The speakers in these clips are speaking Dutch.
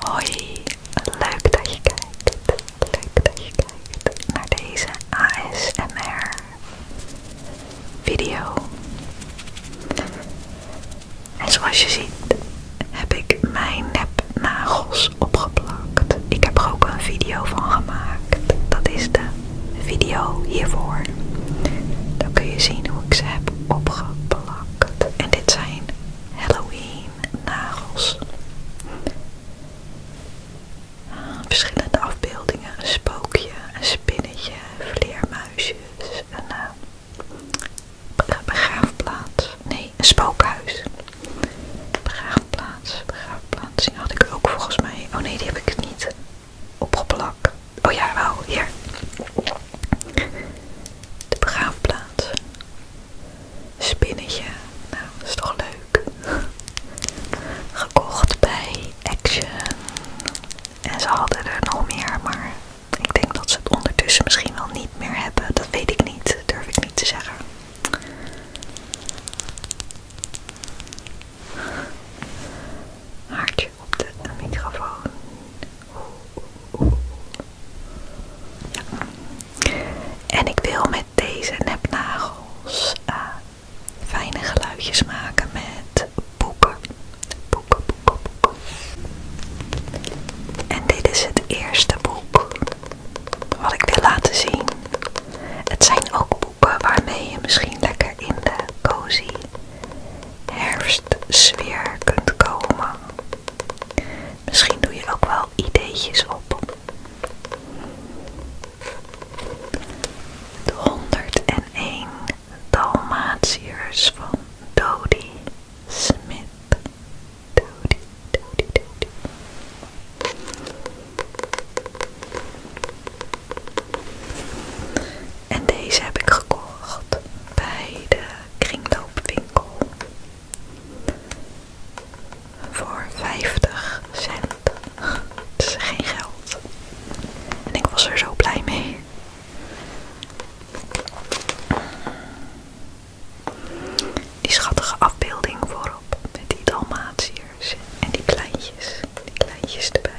Hoi, leuk dat je kijkt. Leuk dat je kijkt naar deze ASMR video. En zoals je ziet heb ik mijn nepnagels opgeplakt. Ik heb er ook een video van gemaakt. Dat is de video hiervoor. Dan kun je zien hoe ik ze heb opgeplakt. En dit zijn Halloween nagels. Verschillende afbeeldingen, een spookje, een spinnetje, vleermuisjes, een uh, begraafplaats, nee een spookhuis. Begraafplaats, begraafplaats, die had ik ook volgens mij, oh nee die heb ik niet opgeplakt. Oh ja wel, hier. De begraafplaats. Spinnetje. Nou, dat is toch leuk. Gekocht bij Action. En ze hadden er nog meer, maar ik denk dat ze het ondertussen misschien wel niet meer hebben. Dat weet ik niet, dat durf ik niet te zeggen. Haartje op de microfoon. En ik wil met deze nepnagels eh, fijne geluidjes maken met boeken. Boeken, boeken, boeken. En dit is het eerste boek wat ik wil laten zien. Het zijn ook boeken waarmee je misschien lekker in de cozy herfstsfeer kunt komen. Misschien doe je ook wel ideetjes op. De 101 Dalmatiërs van Dodie Smith. En deze heb ik gekocht bij de kringloopwinkel voor 50 cent. Het is geen geld. En ik was er zo blij mee. Die schattige afbeelding voorop met die dalmatiërs en die kleintjes. Die kleintjes erbij.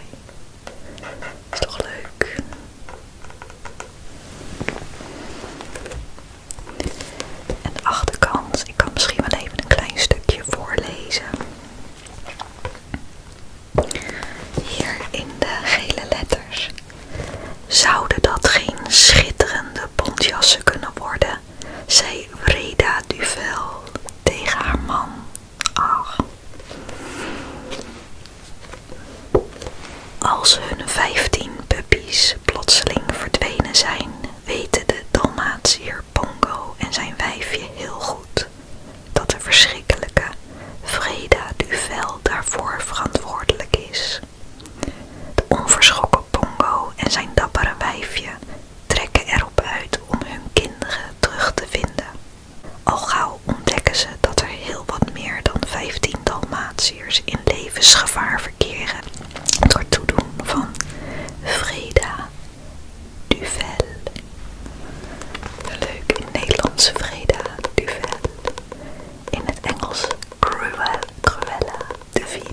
Is toch leuk? En de achterkant, ik kan misschien wel even een klein stukje voorlezen. Hier in de gele letters. Zouden dat geen schitterende bontjassen kunnen worden? zei Vreda Duvel tegen haar man. Ach. Als hun vijftien puppy's plotseling verdwenen zijn, weten de Dalmatier Pongo en zijn wijfje heel goed dat de verschrikkelijke Vreda Duvel daarvoor verantwoordelijk is. De onverschrokken Pongo en zijn dappere wijfje trekken erop uit om hun kinderen terug te vinden. Al gauw ontdekken ze dat er heel wat meer dan 15 Dalmatiërs in levensgevaar verkeren door toedoen van Freda Duvel. Leuk in het Nederlandse Freda Duvel. In het Engels Cruella, Cruella de Vil.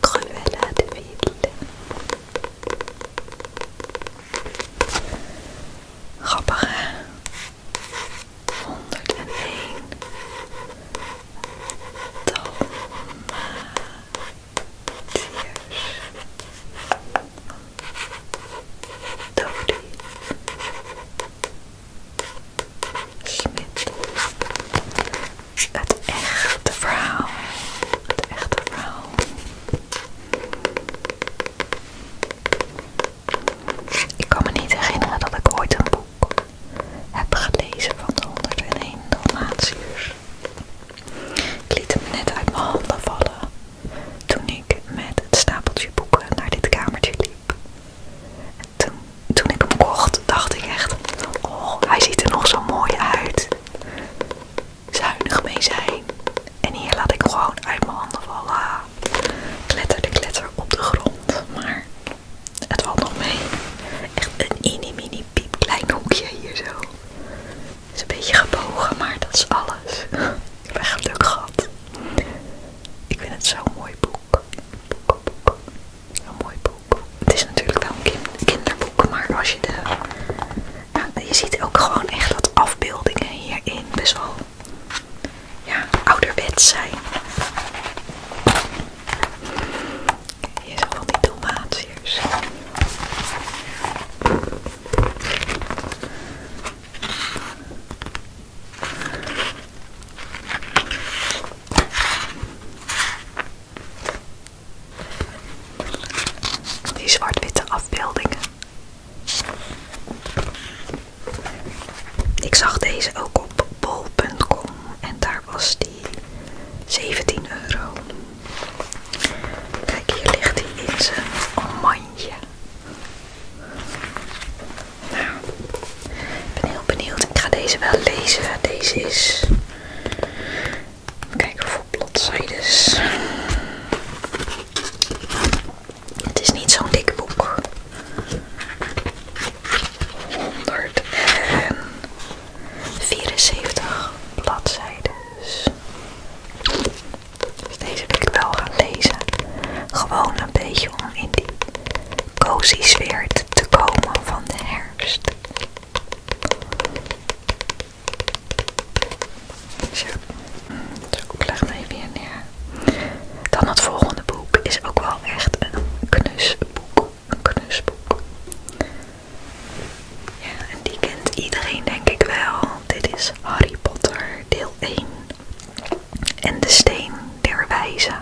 Cruella de Vil. Grappig hè? honderd en één, Dodie, Smit, het echte ik kan me niet herinneren dat ik ooit een boek heb gelezen van de 101 Dalmatiërs. Ik liet hem net uit mijn handen vallen toen ik met het stapeltje boeken naar dit kamertje liep. toen, ik hem kocht, dacht ik echt, oh hij ziet er nog zo mooi uit. Zuinig mee zijn. En hier laat ik gewoon uit mijn handen vallen kletterde kletter op de grond, maar het valt nog mee. Echt een mini mini piep klein hoekje hier zo. is een beetje gebogen, maar dat is alles. Ik heb echt geluk gehad. Ik vind het zo'n mooi boek. Een mooi boek. Het is natuurlijk wel een kinderboek, maar als je de... Nou, je ziet ook gewoon echt wat afbeeldingen hierin. Best wel ja, ouderwets zijn. Hier zijn van die tomaatjes. Die zwart-witte afbeeldingen ik zag deze ook op bol.com en daar was die 17 euro. Kijk, hier ligt hij in zijn mandje. Nou, ik ben heel benieuwd. Ik ga deze wel lezen. Deze is. Kijken voor bladzijdes. Het is niet zo'n dik boek. 174 bladzijden. Dus deze wil ik wel gaan lezen. Gewoon een beetje om in die cozy sfeer te komen van de herfst. Zo, ik leg me even hier neer. Dan het volgende boek is ook wel echt een knusboek. Een knusboek. Ja, en die kent iedereen denk ik wel. Dit is Harry Potter deel 1. En de steen der wijzen.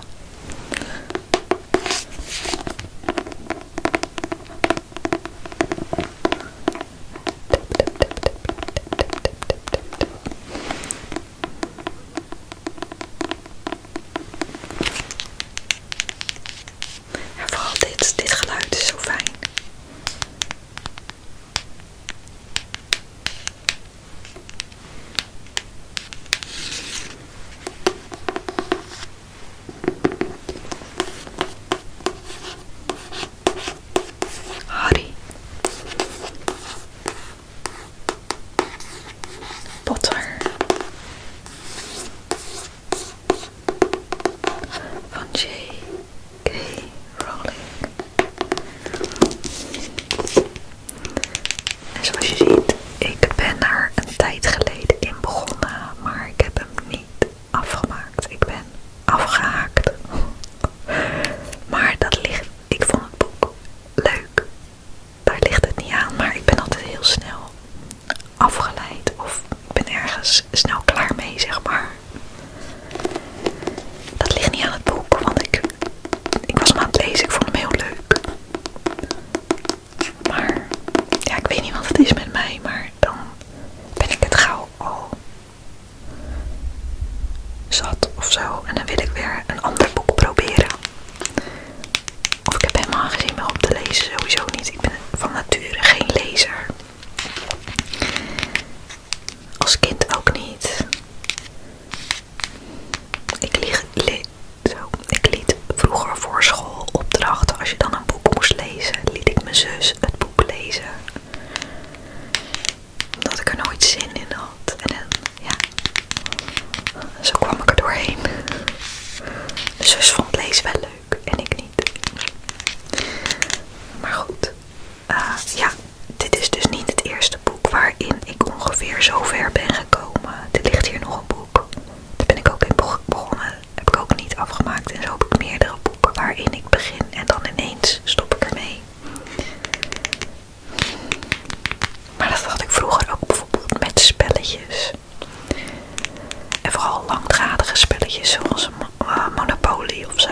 En vooral dit, dit geluid is zo fijn. Harry. Potter van J.K. Rowling. En zoals je ziet, ik ben er een tijd geleden in begonnen, maar ik heb hem niet afgemaakt. Ik ben afgehaakt. Maar dat ligt, ik vond het boek leuk. Daar ligt het niet aan, maar ik ben altijd heel snel afgeleid of ik ben ergens snel klaar mee, zeg maar. Dat ligt niet aan het boek, want ik, ik was hem aan het lezen, ik vond hem heel leuk. Maar ja, ik weet niet wat het is met mij, maar dan ben ik het gauw al zat of zo. En dan wil ik weer een ander boek proberen. Of ik heb helemaal geen zin meer om te lezen, sowieso niet. Ik ben van nature geen lezer. Als kind ook niet. Ik, ik liet vroeger voor school opdrachten. Als je dan een boek moest lezen, liet ik mijn zus het boek lezen omdat ik er nooit zin in had. En ja, zo kwam ik er doorheen. De zus vond lezen wel leuk en ik niet. Maar goed, eh, ja, dit is dus niet het eerste boek waarin ik ongeveer zo ver ben gekomen. Er ligt hier nog een boek. Daar ben ik ook in begonnen. Heb ik ook niet afgemaakt. En zo heb ik meerdere boeken waarin ik begin en dan ineens stop ik ermee. Maar dat had ik vroeger ook bijvoorbeeld met spelletjes. En vooral langdradige spelletjes zoals eh, Monopoly of zo.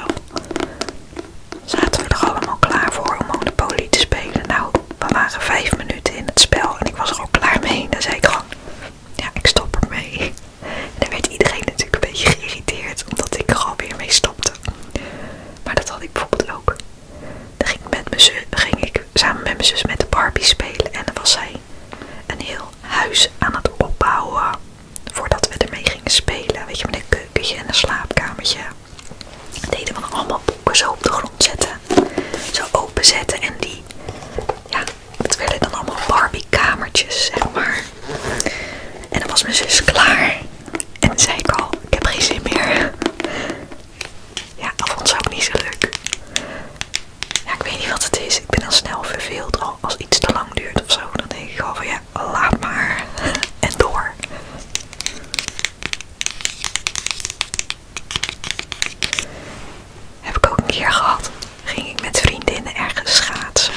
Zaten we er allemaal klaar voor om Monopoly te spelen? Nou, we waren vijf minuten in het spel en ik was er al klaar mee. Dan zei ik gewoon: Ja, ik stop ermee. En dan werd iedereen natuurlijk een beetje geïrriteerd omdat ik er weer mee stopte. Maar dat had ik bijvoorbeeld ook. Dan ging ik, samen met mijn zus met de Barbie spelen. En dan was zij een heel huis aan het opbouwen. Voordat we ermee gingen spelen. Weet je, met een keukentje en een slaapkamertje. Dat deden we allemaal boeken zo op de grond zetten. Zo openzetten. En die, ja, het willen dan allemaal Barbie kamertjes, zeg maar. En dan was mijn zus klaar. En dan zei ik al, ik heb geen zin meer. Ja, dat vond ze niet zo leuk. Ja, ik weet niet wat het is. Ik ben al snel verveeld. als iets te lang duurt of zo, dan denk ik al van ja, laat maar. En door. Heb ik ook een keer gehad. Ging ik met vriendinnen ergens schaatsen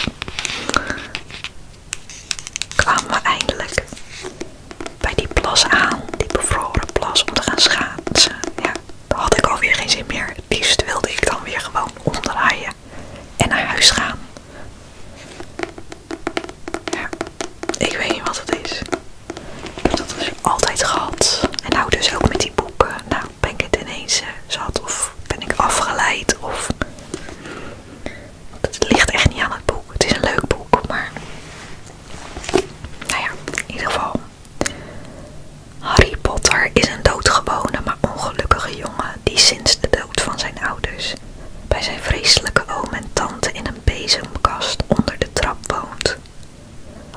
kwamen we eindelijk bij die plas aan, die bevroren plas, om te gaan schaatsen. Ja, had ik alweer geen zin meer. Het liefst wilde ik dan weer gewoon omdraaien en naar huis gaan. Ja, ik weet niet wat het is. Ik heb dat dus altijd gehad. En nou dus ook met die boeken. Nou, ben ik het ineens eh, zat of ben ik afgeleid of... Het ligt echt niet aan het boek. Het is een leuk boek, maar. Nou ja, in ieder geval. Harry Potter is een doodgewone, maar ongelukkige jongen die sinds de dood van zijn ouders bij zijn vreselijke oom en tante in een bezemkast onder de trap woont.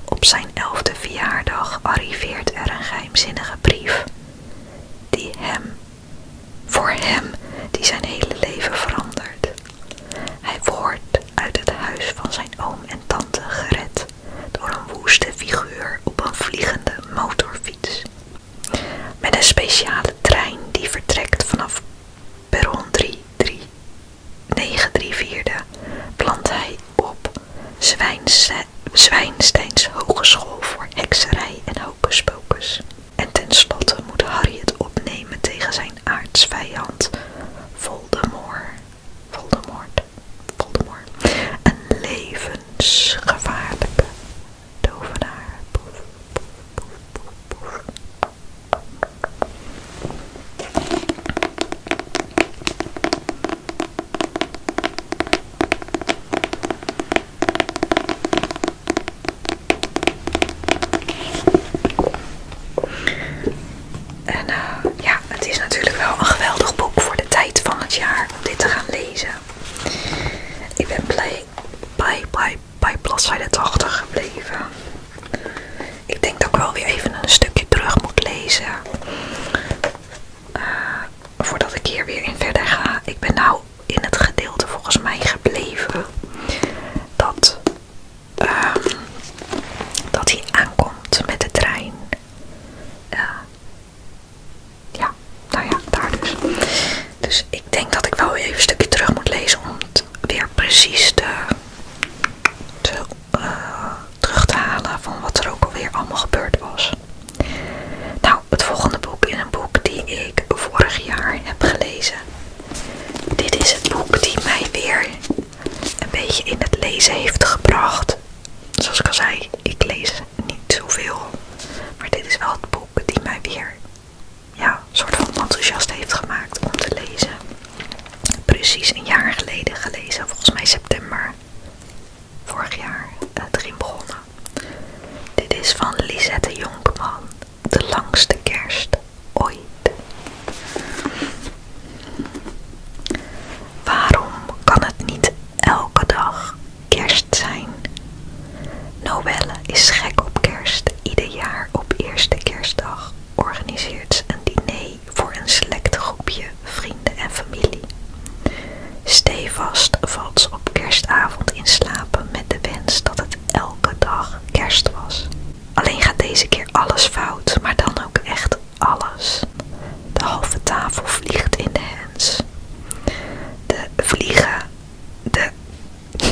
Op zijn elfde verjaardag arriveert er een geheimzinnige brief die hem voor hem die zijn hele leven verandert. Hij wordt uit het huis van zijn oom en tante gered door een woeste figuur op een vliegende motorfiets. Met een speciale trein die vertrekt vanaf perron 934 plant hij op Zwijnsteins Hogeschool voor Hekserij en Hocus en tenslotte moet Harry het opnemen tegen zijn aartsvijand Voldemort. Voldemort. Voldemort. Een levensgevaarlijke tovenaar. En eh, ja, het is natuurlijk wel een geweldig boek voor de tijd van het jaar om dit te gaan lezen. Ik ben blij bij, bij, bij bladzijde 80 gebleven. Ik denk dat ik wel weer even een stukje terug moet lezen. Eh, voordat ik hier weer in verder ga. Ik ben nou in het gedeelte volgens mij gebleven dat, ehm, dat hij aankomt met de trein. Eh, ja, nou ja, daar dus. Dus ik denk dat ik wel even een stukje terug moet lezen om het weer precies te, eh, terug te halen van wat er ook alweer allemaal gebeurd was. Nou, het volgende boek in een boek die ik vorig jaar heb gelezen dit is het boek die mij weer een beetje in het lezen heeft gebracht. Zoals ik al zei, ik lees niet zoveel. Maar dit is wel het boek die mij weer ja, soort van enthousiast heeft gemaakt om te lezen. Precies een jaar geleden gelezen, volgens mij september vorig jaar het eh, ging begonnen. Dit is van Lisette Jonkman de langste kerst ooit. Waarom kan het niet elke dag kerst zijn? Noelle is gek op kerst. Ieder jaar op eerste kerstdag organiseert ze een diner voor een select groepje vrienden en familie. Stevast valt ze op kerstavond in slapen met de wens dat het elke elke dag kerst was. Alleen gaat deze keer alles fout, maar dan ook echt alles. De halve tafel vliegt in de hands. De vliegen, de.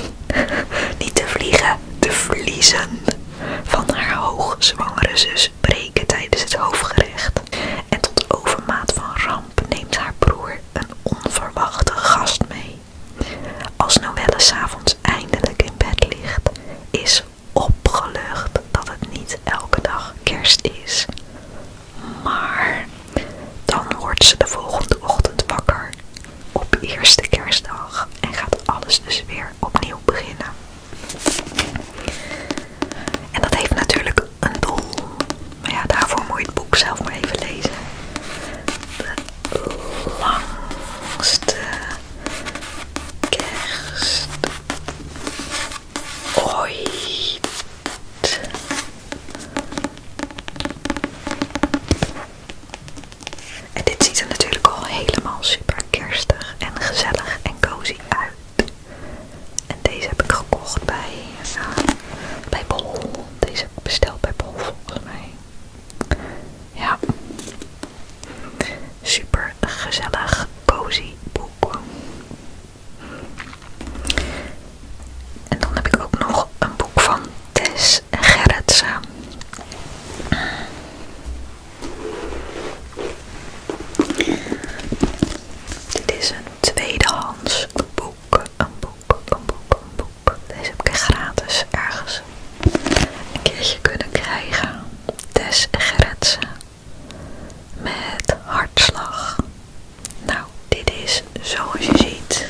niet de vliegen, de vliezen van haar hoogzwangere zus breken tijdens het hoofdgerecht. En tot overmaat van ramp neemt haar broer een onverwachte gast mee. Als Noelle s'avonds eindelijk in bed ligt, is opgelucht dat het niet elke dag kerst is. Maar dan wordt ze de volgende ochtend wakker op eerste kerstdag en gaat alles dus weer opnieuw beginnen. En dat heeft natuurlijk een doel. Maar ja, daarvoor moet je het boek zelf maar even lezen langste kerst ooit. En dit ziet er natuurlijk al helemaal super kerstig en gezellig en cozy uit. En deze heb ik gekocht bij, uh, bij Bol. Deze besteld bij Bol volgens mij. Ja. Super gezellig, cozy boek. En dan heb ik ook nog een boek van Tess Gerritsen. Dit is een tweedehands boek boek, een boek, een boek, een boek. Deze heb ik gratis ergens een keertje kunnen krijgen. Des Gerritsen met hartslag. Nou, dit is zoals je ziet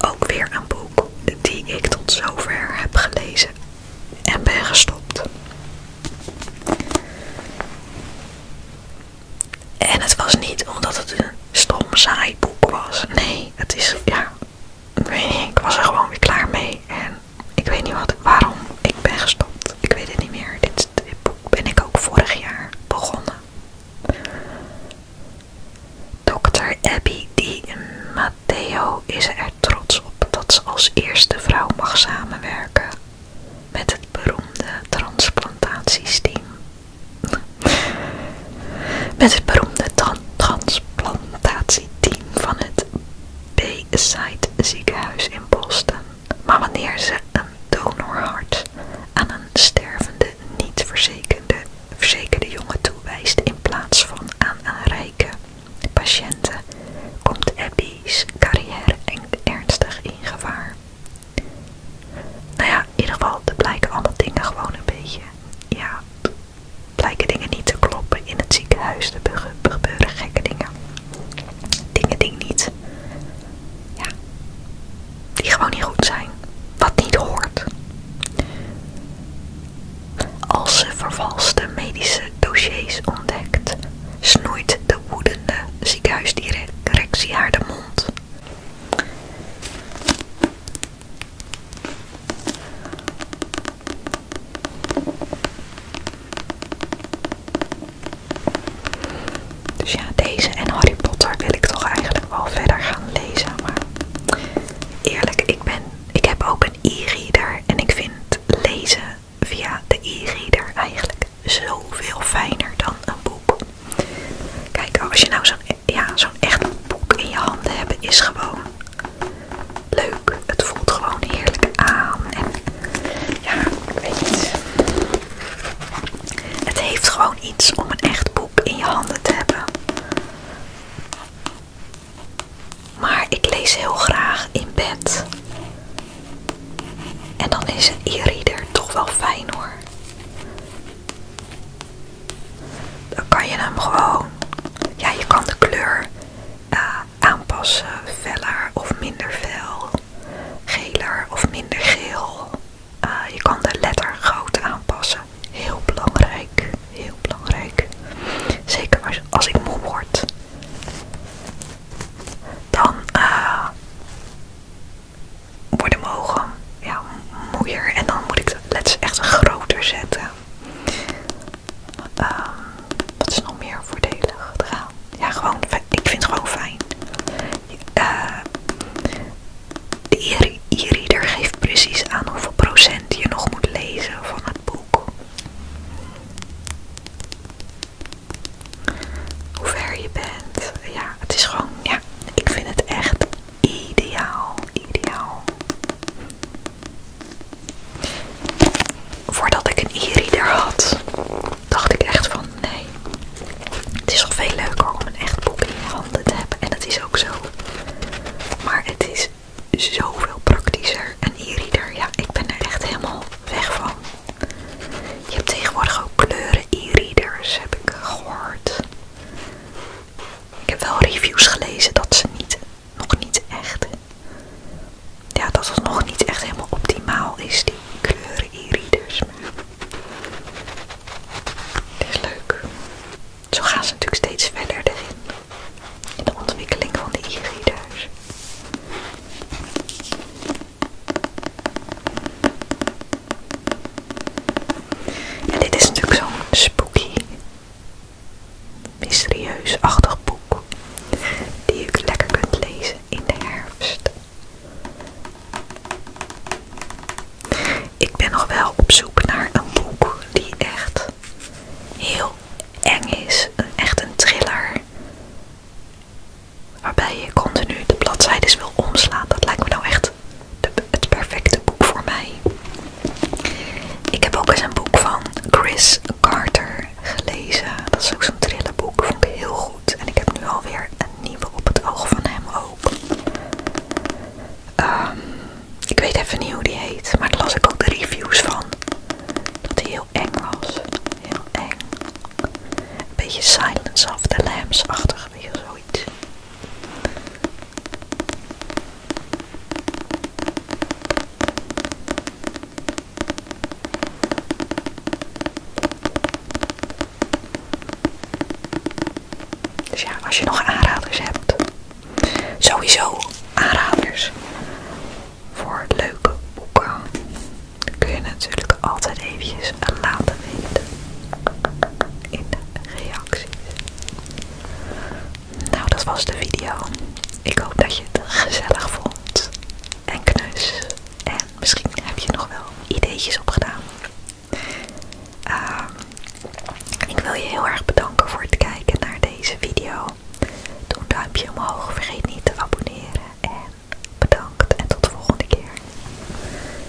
ook weer een boek die ik tot zover heb gelezen en ben gestopt. En het was niet omdat het een stom saai boek was. Nee het is, ja, ik was er gewoon weer klaar mee. En ik weet niet wat, waarom ik ben gestopt. Ik weet het niet meer. Dit, boek ben ik ook vorig jaar begonnen. Dr. Abby Di Matteo is er trots op dat ze als eerste vrouw mag samenwerken met het beroemde transplantatiesteam. Met het beroemde transplantatieteam van het b Bayside ziekenhuis in Boston. Maar wanneer ze een donorhart aan een stervende, niet verzekerde, verzekerde jongen toewijst in plaats van aan een rijke patiënten, komt Abby's carrière ernstig in gevaar. Nou ja, in ieder geval, er blijken allemaal dingen gewoon een beetje, ja, blijken dingen niet te kloppen in het ziekenhuis. Er gebeuren gekke dingen. Dingen die niet, ja, die gewoon niet goed zijn. Wat niet hoort. Als ze vervalste medische dossiers ontdekt, snoeit de woedende ziekenhuisdirectie haar de mond. Dus ja, deze en Harry Potter wil ik toch eigenlijk wel verder gaan lezen. Maar eerlijk, ik, ben, ik heb ook een e-reader en ik vind lezen via de e-reader eigenlijk zoveel fijner dan een boek. Kijk, als je nou zo'n ja, zo'n echt boek in je handen hebt, is gewoon leuk. Het voelt gewoon heerlijk aan. En ja, Het heeft gewoon iets om een echt boek in je handen te hebben. Maar ik lees heel graag in bed. En dan is een e toch wel fijn hoor. Dan kan je hem gewoon, ja je kan de kleur eh, aanpassen, veller of minder fel, geler of minder geel. Eh, je kan de letter groot aanpassen. Heel belangrijk, heel belangrijk. Zeker als, ik moe word. Dan eh, worden mogen. Ja, moeier. En dan moet ik let's letters echt groter zetten. Ehm, wat is nog meer voordelig Gaan? Ja, gewoon, ik vind het gewoon fijn. Eh, de e-reader geeft precies aan hoeveel procent je nog moet lezen van het boek. Hoe ver je bent. Ja, het is gewoon, ja, ik vind het echt Ideaal, ideaal. Voordat ik een e-reader had, dacht ik echt van nee. Het is al veel leuker om een echt boek in je handen te hebben. En dat is ook zo. Maar het is zoveel praktischer. Een e-reader, ja, ik ben er echt helemaal weg van. Je hebt tegenwoordig ook kleuren e-readers, heb ik gehoord. Ik heb wel reviews gelezen dat ze niet, nog niet echt, ja, dat het nog niet echt helemaal optimaal is, die kleuren e-readers. is leuk. Zo gaan ze natuurlijk steeds verder erin, in de ontwikkeling van die e en dit is natuurlijk zo'n spooky, mysterieus-achtig boek die je lekker kunt lezen in de herfst. Ik ben nog wel op zoek naar een boek die echt heel eng is. Echt een thriller. Waarbij je continu de bladzijdes wil omslaan. Dat lijkt me nou echt het perfecte boek voor mij. Ik heb ook eens een boek van Chris Carter gelezen. Dat is ook zo'n trillenboek. Vond ik heel goed. En ik heb nu alweer een nieuwe op het oog van hem ook. Ehm, ik weet even niet hoe die heet. Maar daar las ik ook de reviews van. Dat hij heel eng was. Heel eng. Een beetje Silence of the Lambs-achtig. beetje zoiets. Dus ja, als je nog aanraders hebt, sowieso aanraders voor leuke boeken, kun je natuurlijk altijd eventjes laten weten in de reacties. Nou, dat was de video. Ik hoop dat je het gezellig vond en knus. En misschien heb je nog wel ideetjes opgedaan. Ehm, ik wil je heel erg bedanken voor het kijken naar deze video. Doe een duimpje omhoog, vergeet niet te abonneren. En bedankt en tot de volgende keer.